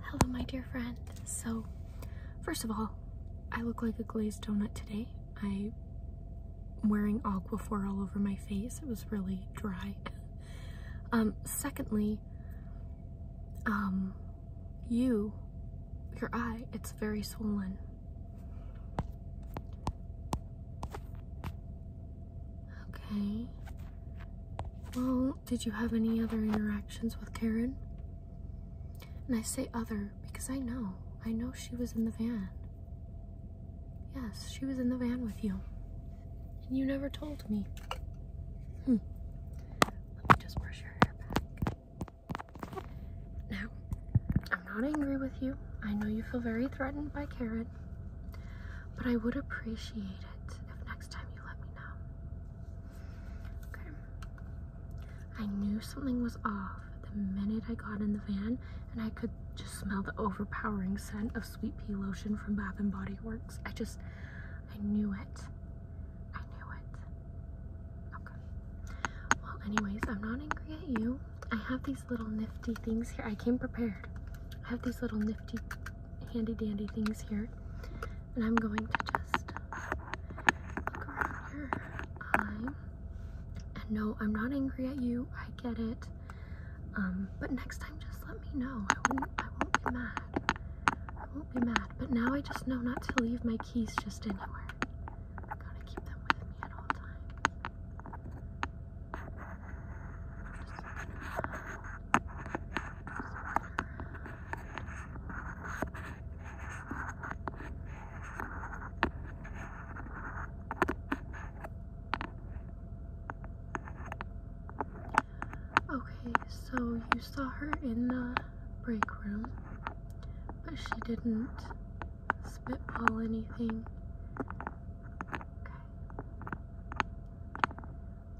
Hello, my dear friend. So, first of all, I look like a glazed donut today. I'm wearing Aquaphor all over my face. It was really dry. Um, secondly, um, you, your eye, it's very swollen. Okay. Well, did you have any other interactions with Karen? And I say other because I know. I know she was in the van. Yes, she was in the van with you. And you never told me. Hmm. Let me just brush your hair back. Now, I'm not angry with you. I know you feel very threatened by Karen. But I would appreciate it if next time you let me know. Okay. I knew something was off the minute I got in the van, and I could just smell the overpowering scent of sweet pea lotion from Bath and Body Works. I just, I knew it. I knew it. Okay. Well, anyways, I'm not angry at you. I have these little nifty things here. I came prepared. I have these little nifty handy dandy things here. And I'm going to just look around here. I And no, I'm not angry at you. I get it. Um, but next time, just let me know. I won't, I won't be mad. I won't be mad. But now I just know not to leave my keys just anywhere. Gotta keep them with me at all times. Okay, so you saw her in the break room, but she didn't spitball anything. Okay.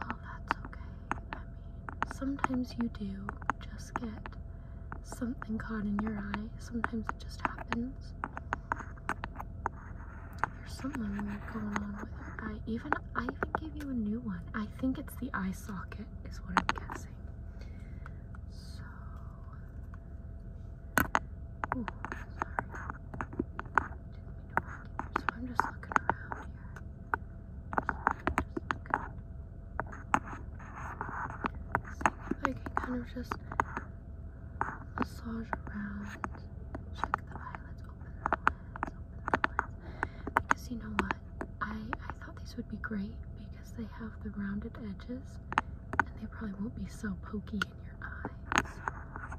Well, that's okay. I mean, sometimes you do just get something caught in your eye. Sometimes it just happens. There's something going on with your eye. Even I even gave you a new one. I think it's the eye socket, is what I'm guessing. So, ooh, sorry. so I'm just looking around here. I can kind of just massage around, check the eyelids, open the open the lids. Because you know what? I, I thought these would be great because they have the rounded edges and they probably won't be so pokey in your eyes.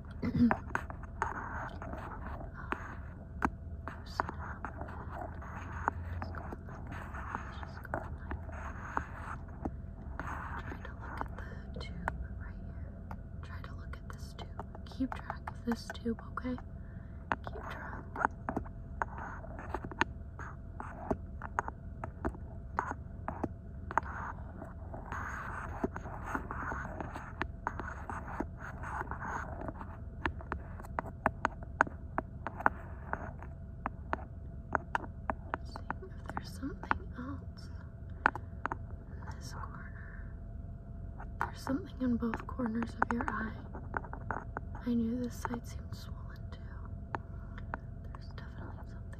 Try to look at the tube right here. Try to look at this tube. Keep track of this tube, okay? Keep track. Seeing if there's something else in this corner. There's something in both corners of your eye. I knew this side seemed swollen too. There's definitely something.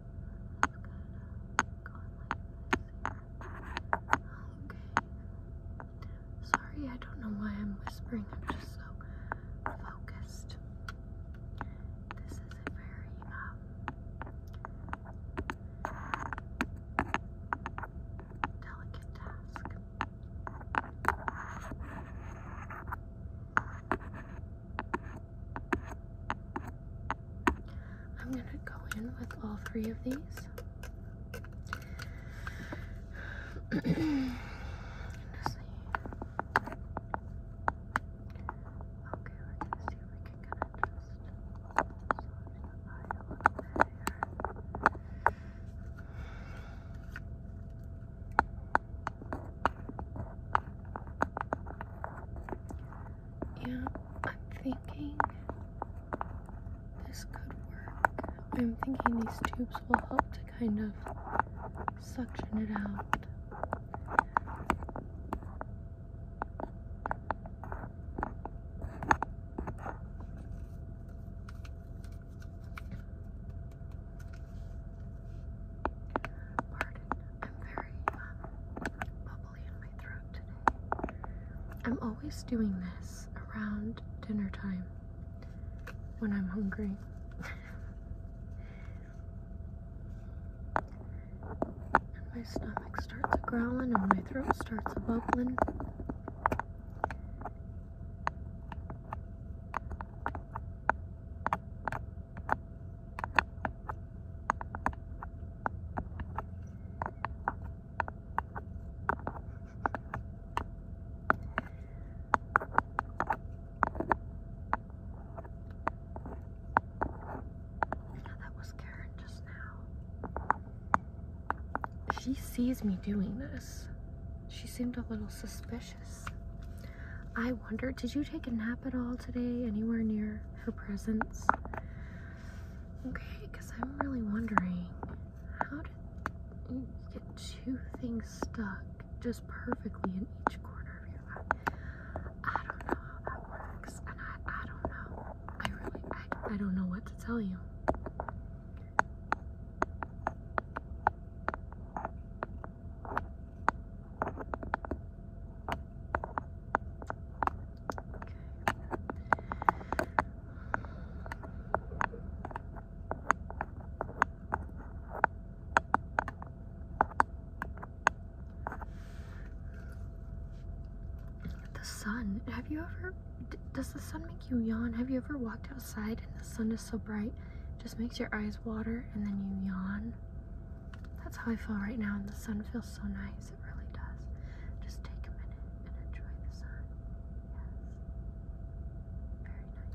Okay. Sorry, I don't know why I'm whispering. I'm just so focused. This is a very um, delicate task. I'm gonna go in with all three of these. Let's see. if we can kind of yeah, I'm thinking this could work. I'm thinking these tubes will help to kind of suction it out. Pardon, I'm very uh, bubbly in my throat. I'm always doing this around dinner time when I'm hungry. and my stomach starts growling and my throat starts bubbling that was Karen just now. She sees me doing this. She seemed a little suspicious. I wonder, did you take a nap at all today anywhere near her presence. Okay, because I'm really wondering how did you get two things stuck just perfectly in each corner of your life? I don't know how that works, and I, I don't know. I really, I, I don't know what to tell you. The sun. Have you ever? Does the sun make you yawn? Have you ever walked outside and the sun is so bright, just makes your eyes water and then you yawn? That's how I feel right now, and the sun feels so nice. It really does. Just take a minute and enjoy the sun.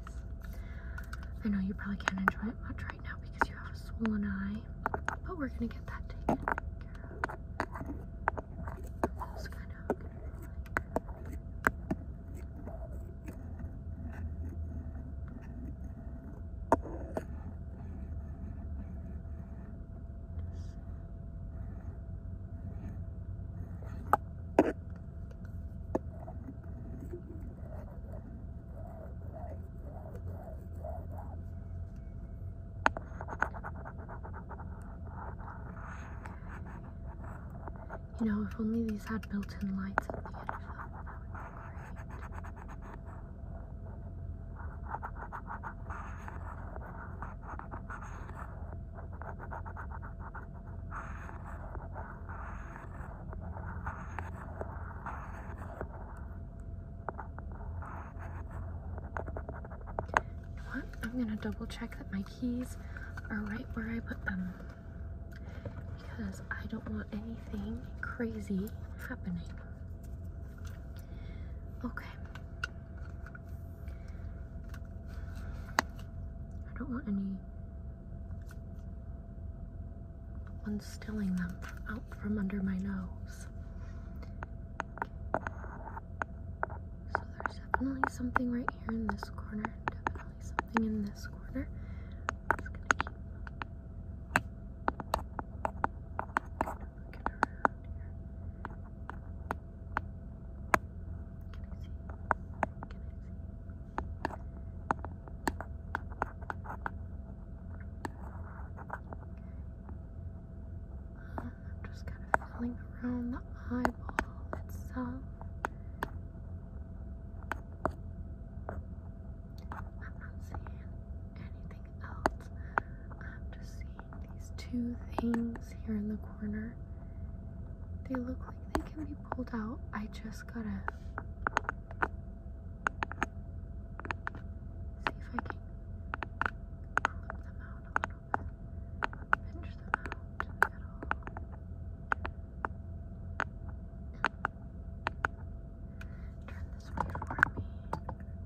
Yes. Very nice. I know you probably can't enjoy it much right now because you have a swollen eye, but we're going to get that taken care of. You know, if only these had built-in lights at the end of them, I'm gonna double check that my keys are right where I put them because I don't want anything crazy happening. Okay. I don't want any ones stealing them out from under my nose. So there's definitely something right here in this corner. Definitely something in this corner. Um, I'm just kind of feeling around the eyeball itself. I'm not seeing anything I'm just seeing these two things here in the corner. They look like they can be pulled out. I just gotta see if I can flip them out pinch them out Turn this way for me.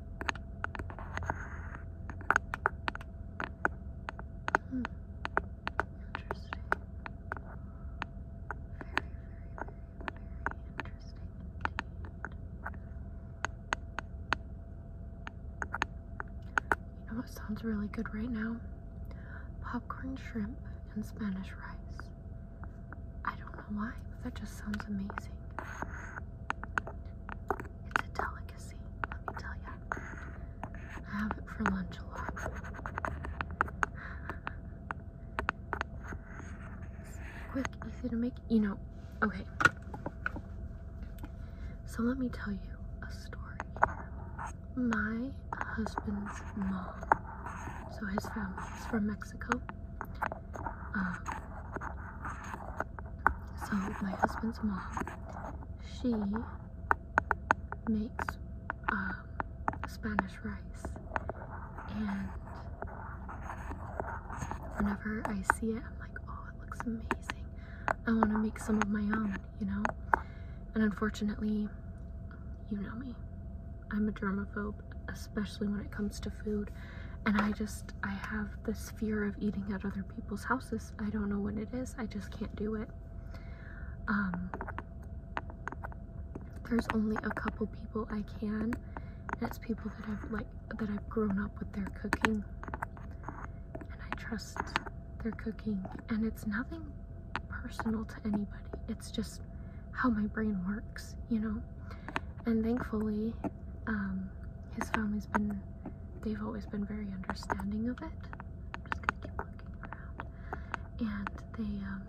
Hmm. Interesting. Very, very, very, very interesting indeed. You know what sounds really good right now? Popcorn shrimp and Spanish rice. I don't know why, but that just sounds amazing. It's a delicate let me tell you. I have it for lunch a lot. quick, easy to make, you know. Okay. So let me tell you a story. My husband's mom, so his family is from Mexico. Um, so my husband's mom, she makes um, Spanish rice, and whenever I see it, I'm like, oh, it looks amazing. I want to make some of my own, you know. And unfortunately, you know me, I'm a germaphobe, especially when it comes to food. And I just, I have this fear of eating at other people's houses I don't know what it is. I just can't do it. Um, there's only a couple people I can. and it's people that I've like that I've grown up with their cooking, and I trust their cooking. And it's nothing personal to anybody. It's just how my brain works, you know. And thankfully, um, his family's been, they've always been very understanding of it. And they, um,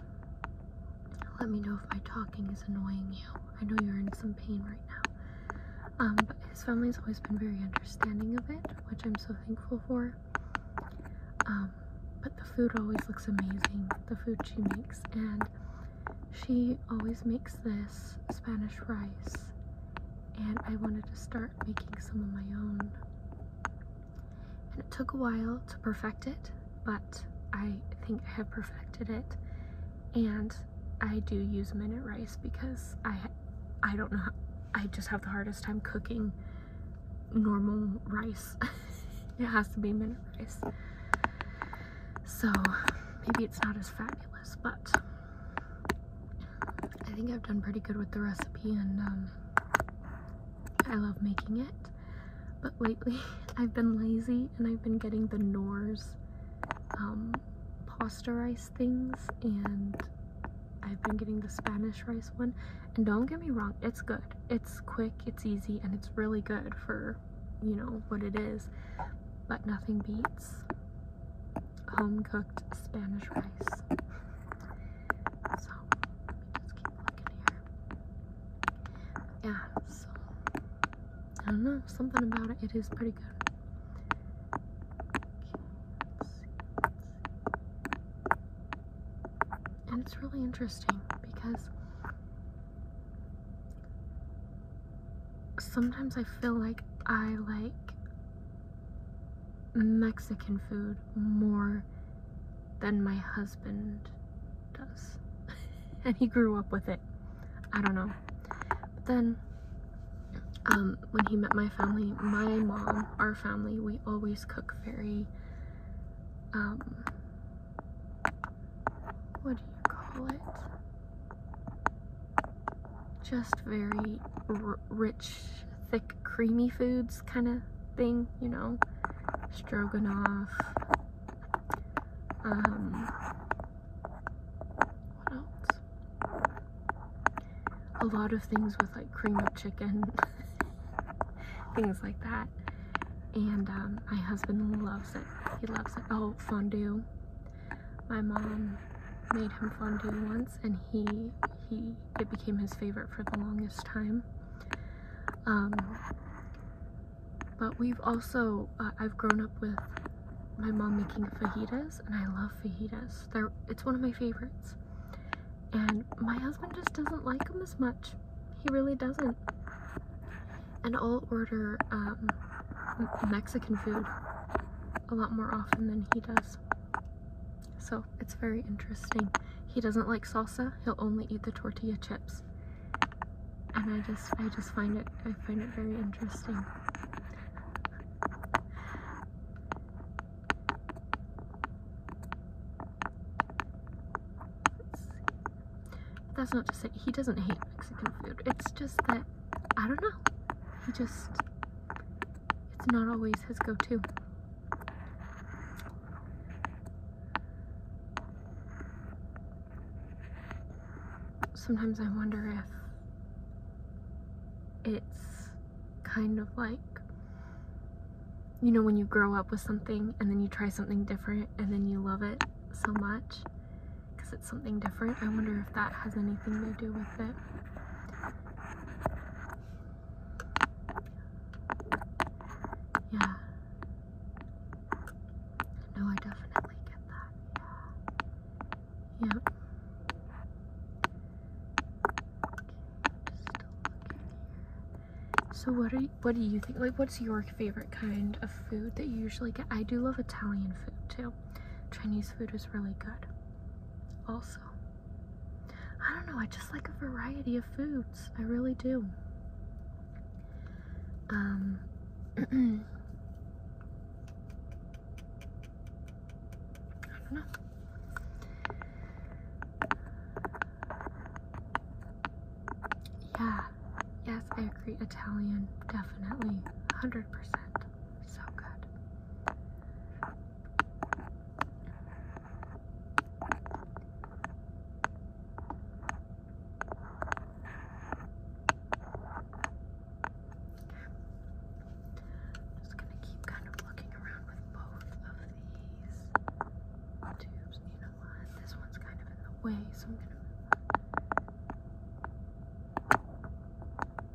let me know if my talking is annoying you. I know you're in some pain right now. Um, but his family's always been very understanding of it, which I'm so thankful for. Um, but the food always looks amazing, the food she makes. And she always makes this Spanish rice and I wanted to start making some of my own. And it took a while to perfect it, but I think I have perfected it. And I do use minute rice because I I don't know I just have the hardest time cooking normal rice. it has to be minute rice. So maybe it's not as fabulous, but I think I've done pretty good with the recipe and um, I love making it. But lately I've been lazy and I've been getting the Knorr's um, pasta rice things and I've been getting the Spanish rice one. And don't get me wrong, it's good. It's quick, it's easy, and it's really good for, you know, what it is. But nothing beats home cooked Spanish rice. So Yeah, so I don't know, something about it, it is pretty good. And it's really interesting because sometimes I feel like I like Mexican food more than my husband does. and he grew up with it. I don't know. But then um, when he met my family, my mom, our family, we always cook very, um, what do you call it? just very rich, thick, creamy foods kind of thing, you know, stroganoff, um, what else? A lot of things with like cream of chicken, things like that. And um, my husband loves it. He loves it. Oh, fondue my mom made him fondue once and he he it became his favorite for the longest time um, but we've also uh, I've grown up with my mom making fajitas and I love fajitas it's one of my favorites and my husband just doesn't like them as much he really doesn't and I'll order um, Mexican food a lot more often than he does. So it's very interesting. He doesn't like salsa, he'll only eat the tortilla chips. And I just I just find it I find it very interesting. That's not to say he doesn't hate Mexican food. It's just that I don't know. He just it's not always his go-to. Sometimes I wonder if it's kind of like you know when you grow up with something and then you try something different and then you love it so much because something different. I wonder if that has anything to do with it. Yeah. No, I definitely get that. Yeah. so what are what do you think? Like, what's your favorite kind of food that you usually get? I do love Italian food too. Chinese food is really good also. I don't know, I just like a variety of foods. I really do. Um I don't know. Yeah, yes, I agree. Italian, definitely. 100%. So good. just going to keep kind of looking around with both of these tubes. You know This one's kind of in the way, so I'm going to yeah,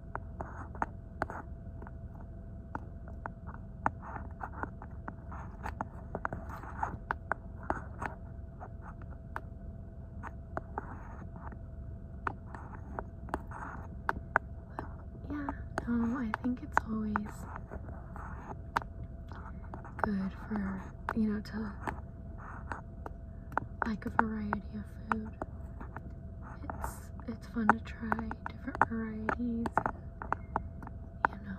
no, um, I think it's always good for, you know, to like a variety of food. It's it's fun to try different varieties. you know. Yeah.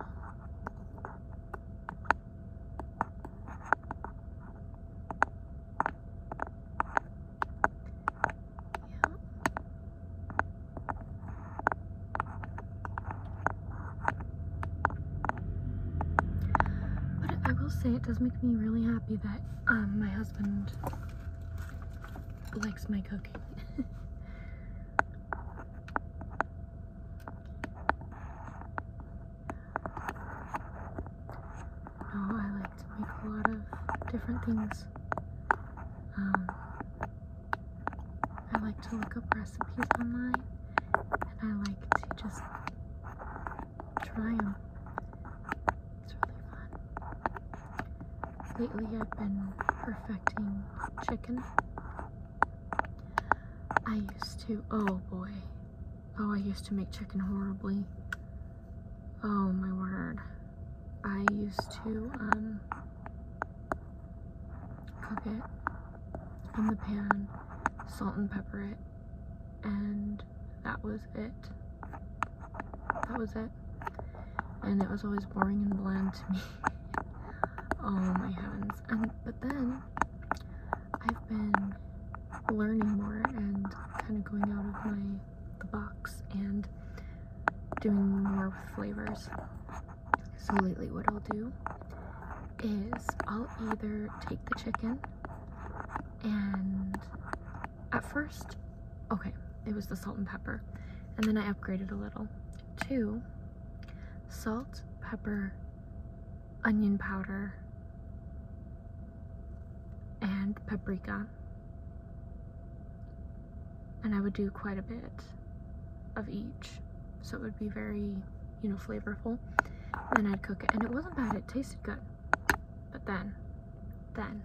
But I will say it does make me really happy that um, my husband likes my cooking. no, oh, I like to make a lot of different things. Um, I like to look up recipes online and I like to just try them. It's really fun. Lately, I've been perfecting chicken. I used to, oh boy. Oh, I used to make chicken horribly. Oh my word. I used to um, cook it in the pan, salt and pepper it, and that was it. That was it. And it was always boring and bland to me. oh my heavens. And but then I've been learning more and kind of going out of my the box and doing more flavors. So lately what I'll do is I'll either take the chicken and at first, okay, it was the salt and pepper. And then I upgraded a little to salt, pepper, onion powder, and paprika. And I would do quite a bit of each. So it would be very, you know, flavorful. And I'd cook it. And it wasn't bad. It tasted good. But then, then,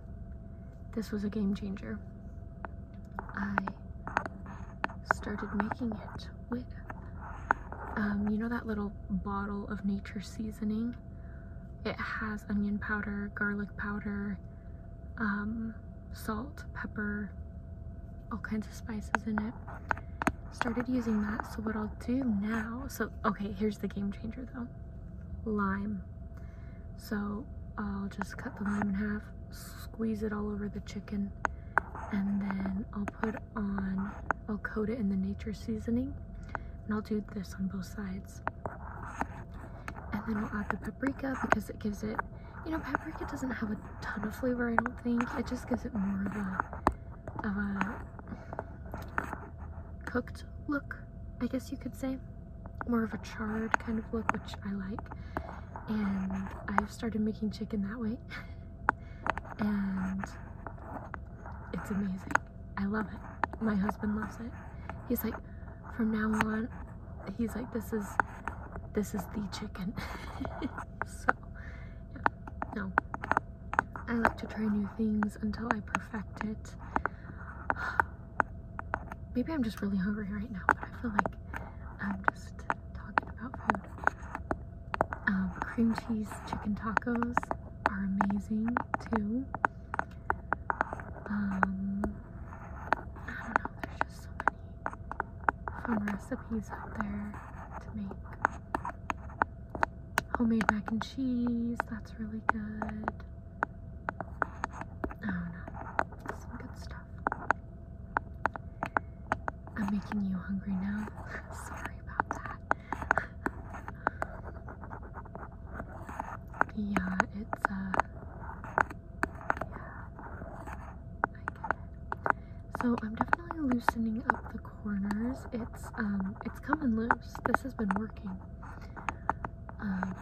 this was a game changer. I started making it with, um, you know, that little bottle of nature seasoning. It has onion powder, garlic powder, um, salt, pepper, all kinds of spices in it. Started using that. So what I'll do now, so okay, here's the game changer though. Lime. So I'll just cut the lime in half, squeeze it all over the chicken, and then I'll put on, I'll coat it in the nature seasoning. And I'll do this on both sides. And then I'll add the paprika because it gives it, you know, paprika doesn't have a ton of flavor, I don't think. It just gives it more of a, of a cooked look. I guess you could say. More of a charred kind of look, which I like. And I've started making chicken that way. and it's amazing. I love it. My husband loves it. He's like, from now on, he's like, this is, this is the chicken. so, yeah, no. I like to try new things until I perfect it. Maybe I'm just really hungry right now, but I feel like I'm just talking about food. Um, cream cheese chicken tacos are amazing too. Um, I don't know, there's just so many fun recipes out there to make. Homemade mac and cheese, that's really good. Oh, no, some good stuff. I'm making you hungry now. Sorry about that. yeah, it's uh, yeah, I So I'm definitely loosening up the corners. It's um, it's coming loose. This has been working. Um,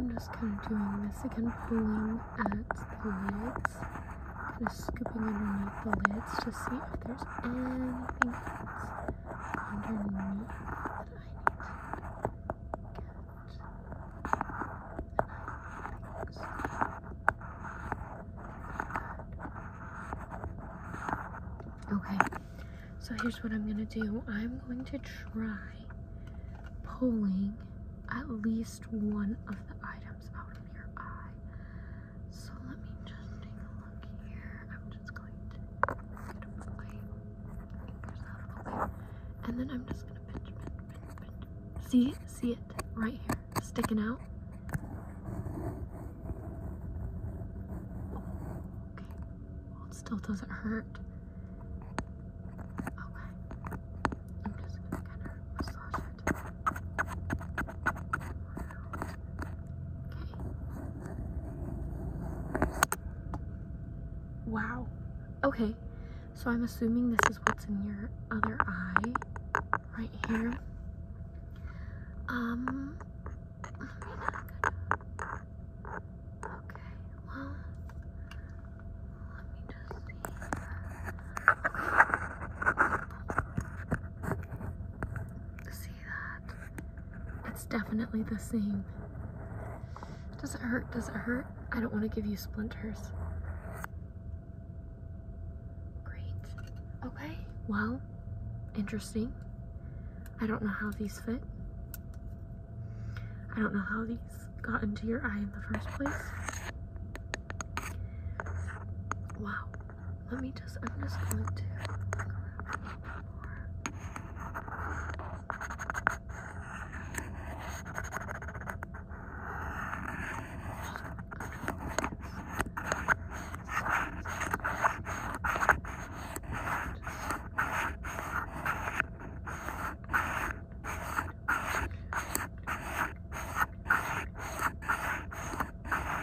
I'm just kind of doing this again, pulling at the legs. Just scooping underneath the lids to see if there's anything underneath that I need to get. Okay, so here's what I'm gonna do. I'm going to try pulling at least one of the items out of your eye. So let me just take a look here. I'm just going to put a fingers out And then I'm just gonna pinch, pinch, pinch, pinch. See? See it right here, sticking out. Okay. it still doesn't hurt. Okay. I'm just gonna kind of massage Wow. Okay, so I'm assuming this is what's in your other eye right here. Um, Okay, well, let me just see. See that? It's definitely the same. Does it hurt? Does it hurt? I don't want to give you splinters. Great. Okay. Well, interesting. I don't know how these fit. I don't know how these got into your eye in the first place. Wow let me just, I'm just going to yeah,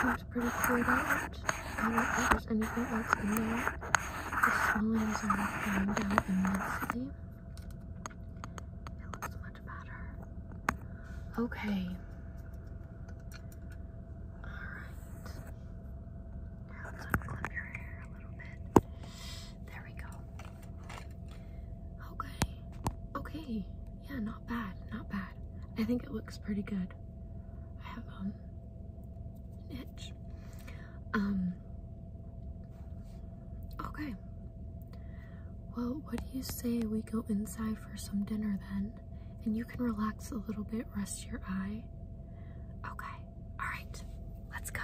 seems pretty cleared out. I don't think there's anything else in there. The swellings are going down immensely. It looks much better. Okay. Alright. Now let's unclip your hair a little bit. There we go. Okay. Okay. Yeah, not bad. Not bad. I think it looks pretty good. I have um an itch. Um Okay. Well, what do you say we go inside for some dinner then? And you can relax a little bit, rest your eye. Okay. All right. Let's go.